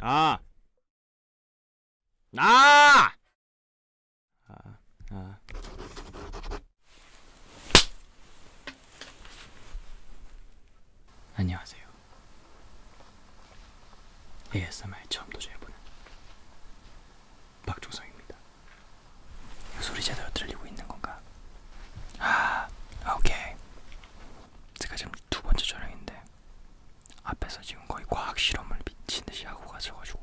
아! 아! 아, 아. 안녕하세요. ASMR 처음 도전해보는 박종성입니다. 소리 제대로 들리고 있는 건가? 아, 오케이. 제가 지금 두 번째 촬영인데 앞에서 지금 거의 과학 실험을 미친 듯이 하고 가셔가지고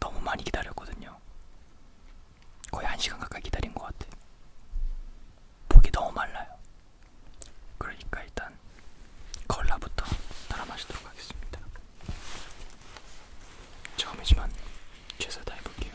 너무 많이 기다렸거든요. 거의 한 시간 가까이 기다린 것 같아. 목이 너무 말라요. 그러니까 일단 콜라부터 따라 마시도록 하겠습니다. 처음이지만 최선을 다해볼게요.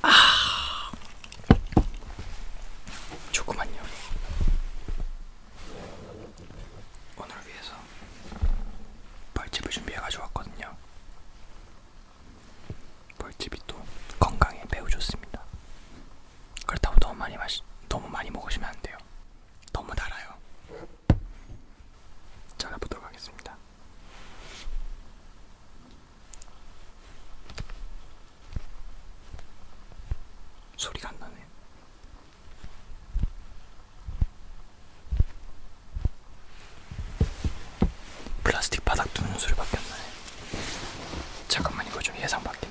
아, 조그만요. 오늘 위해서 벌집을 준비해 가져왔거든요. 벌집이 또 건강에 매우 좋습니다. 그렇다고 너무 많이 마시, 너무 많이 먹으시면 안 돼요. 너무 달아요. 잘라보도록 하겠습니다. 소리가 안 나네. 플라스틱 바닥 두는 소리밖에 안 나네. 잠깐만 이거 좀 예상 밖인데.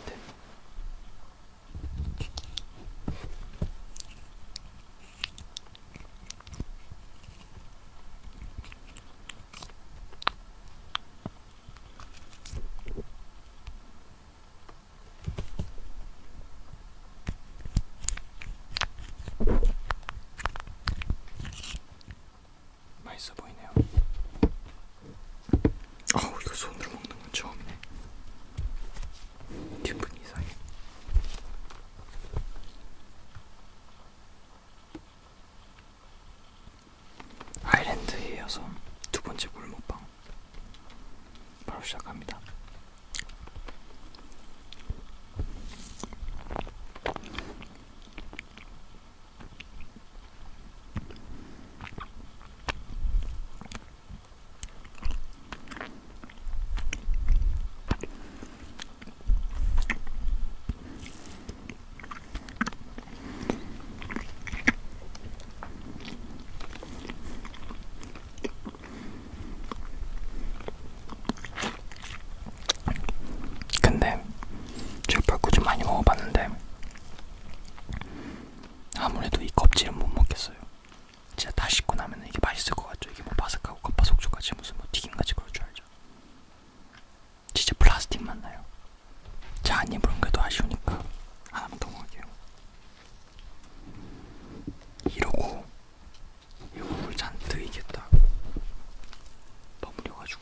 맛있어 보이네요. 아우 이거 손으로 먹는 건 처음이네. 기분 이상해. 아일랜드에 이어서 두 번째 골목방 바로 시작합니다. 근데 제가 벌꿀좀 많이 먹어봤는데 아무래도 이 껍질은 못 먹겠어요. 진짜 다 씻고 나면 이게 맛있을 것 같죠? 이게 뭐 바삭하고 겉바속촉같이 무슨 뭐 튀김같이 그럴 줄 알죠? 진짜 플라스틱 맛나요. 자, 한 입으로는 그래도 아쉬우니까 하나만 더 먹을게요. 이러고 이거 물 잔뜩 익겠다 버무려가지고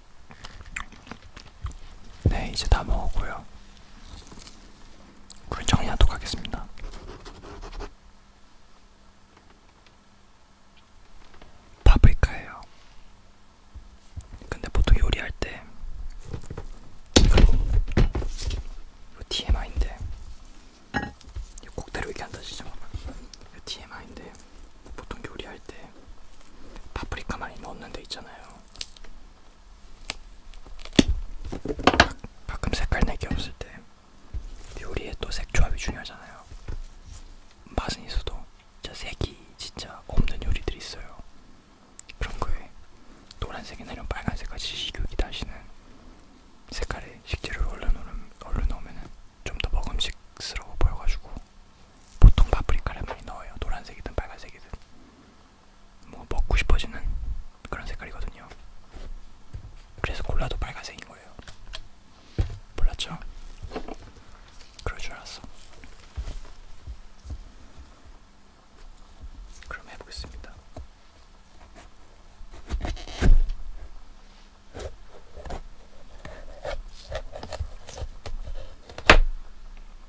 네, 이제 다 먹었고요. 물 정리하도록 하겠습니다. 파프리카예요. 근데 보통 요리할 때 이거 TMI인데 이거 꼭대로 이렇게 앉아지죠. 이거 TMI인데 보통 요리할 때 파프리카 많이 넣는 데 있잖아요. 가끔 색깔 내기 없을 때 요리에 또 색조합이 중요하잖아요. 맛은 있어도 진짜 색이 진짜 없는 요리들이 있어요. 그런 거에 노란색이 나면 빨간색까지 식욕이 다시는 색깔에 식재료를 얼른 넣으면은 좀더 먹음직스러워 보여가지고 보통 파프리카를 많이 넣어요. 노란색이든 빨간색이든 뭐 먹고 싶어지는 그런 색깔이거든요. 그래서 콜라도 빨간색인 거예요. 몰랐죠? 그럴 줄 알았어. 그럼 해보겠습니다.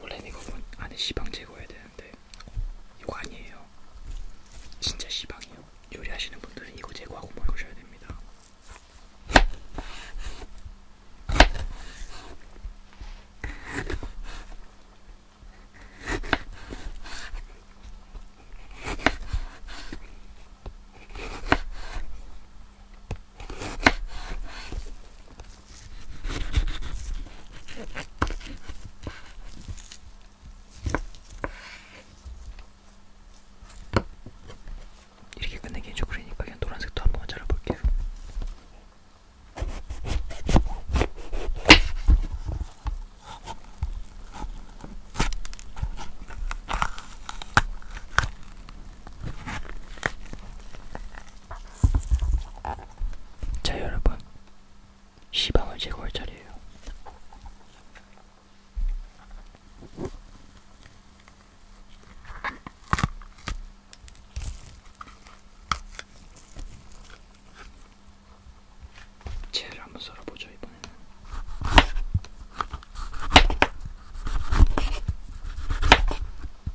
원래는 이거 안에 시방 제거해야 되는데 이거 아니에요. 진짜 시방이요. 요리하시는 분들은 이거 제거하고 먹으셔야 됩니다. 이렇게 끝내기 해줘 그러니까 그냥 노란색도 한번 잘라볼게요. 자 여러분 시방을 제거할 차례예요. 젤을 한번 썰어보죠 이번에는.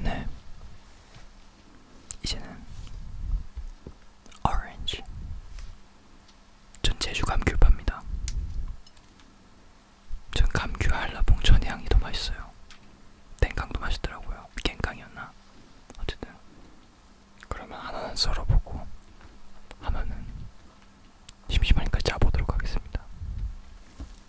네. 이제는 오렌지. 전 제주 감귤파입니다. 전 감귤 한라봉 전향이 더 맛있어요. 땡강도 맛있더라고요. 갱강이었나? 어쨌든 그러면 하나는 썰어보고 하나는 심심하니까 짜보도록 하겠습니다.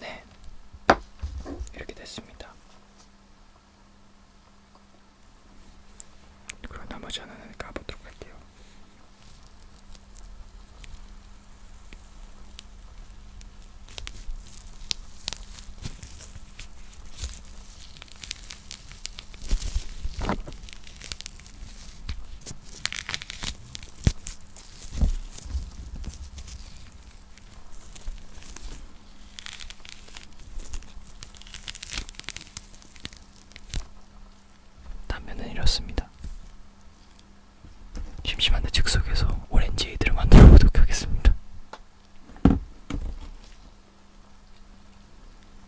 네, 이렇게 됐습니다. 그럼 나머지 하나는 까보도록 할게요. 단면은 이렇습니다. 심심한데 책 속에서 오렌지 에이드를 만들어 보도록 하겠습니다.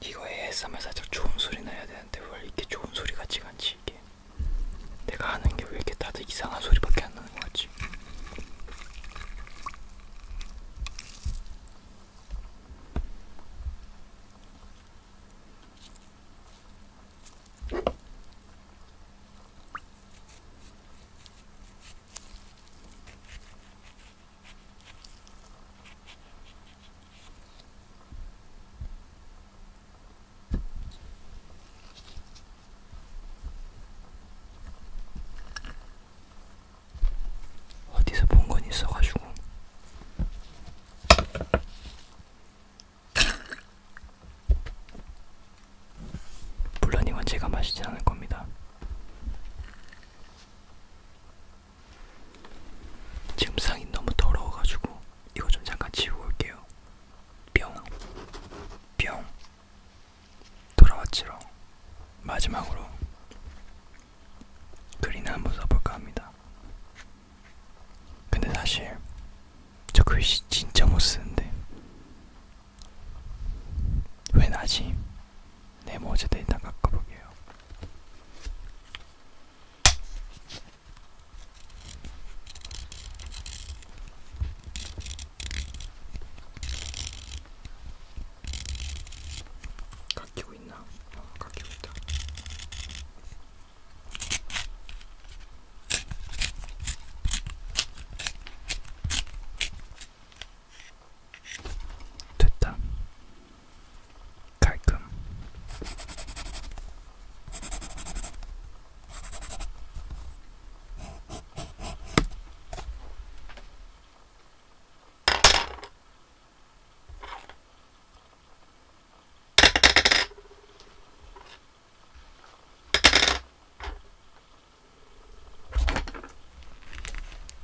이거 ASMR 살짝 좋은 소리 나야 되는데 원래 이렇게 좋은 소리 같지가 않지 이게 내가 하는 게 왜 이렇게 다들 이상한 소리밖에 안 나는 거 같지? 어디서 본 건 있어가지고 물론 이건 제가 마시지 않을 겁니다. 지금 상이 너무 더러워가지고 이거 좀 잠깐 지우고 올게요. 뿅, 뿅. 돌아왔지롱. 마지막으로 글이나 한번 써볼까 합니다. 근데 사실 저 글씨 진짜 못 쓰는데 왜 나지? 네모 어제도 일단 깎아볼게요. 깎이고 있나? 어, 깎이고 있다. 됐다. 깔끔.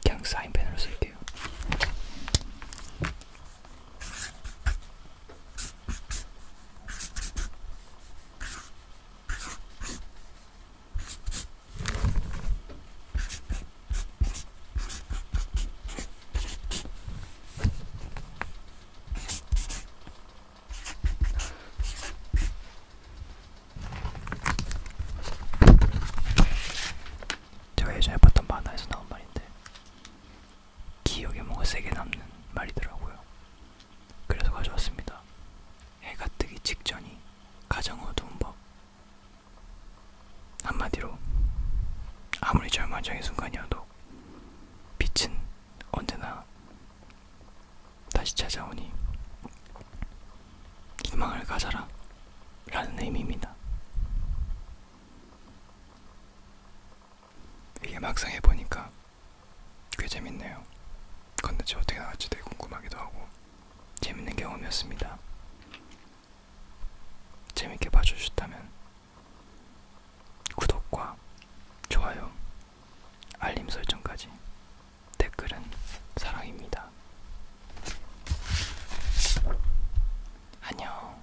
그냥 사인펜으로 쓸게요. 제가 예전에 봤던 만화에서 나온 말인데 기억에 뭔가 세게 남는 말이더라고요. 그래서 가져왔습니다. 해가 뜨기 직전이 가장 어두운 법. 한마디로 아무리 절망적인 순간이어도 빛은 언제나 다시 찾아오니 희망을 가져라 라는 의미입니다. 이게 막상 해보니까 꽤 재밌네요. 컨텐츠 어떻게 나갈지 되게 궁금하기도 하고 재밌는 경험이었습니다. 재밌게 봐주셨다면 구독과 좋아요, 알림 설정까지 댓글은 사랑입니다. 안녕.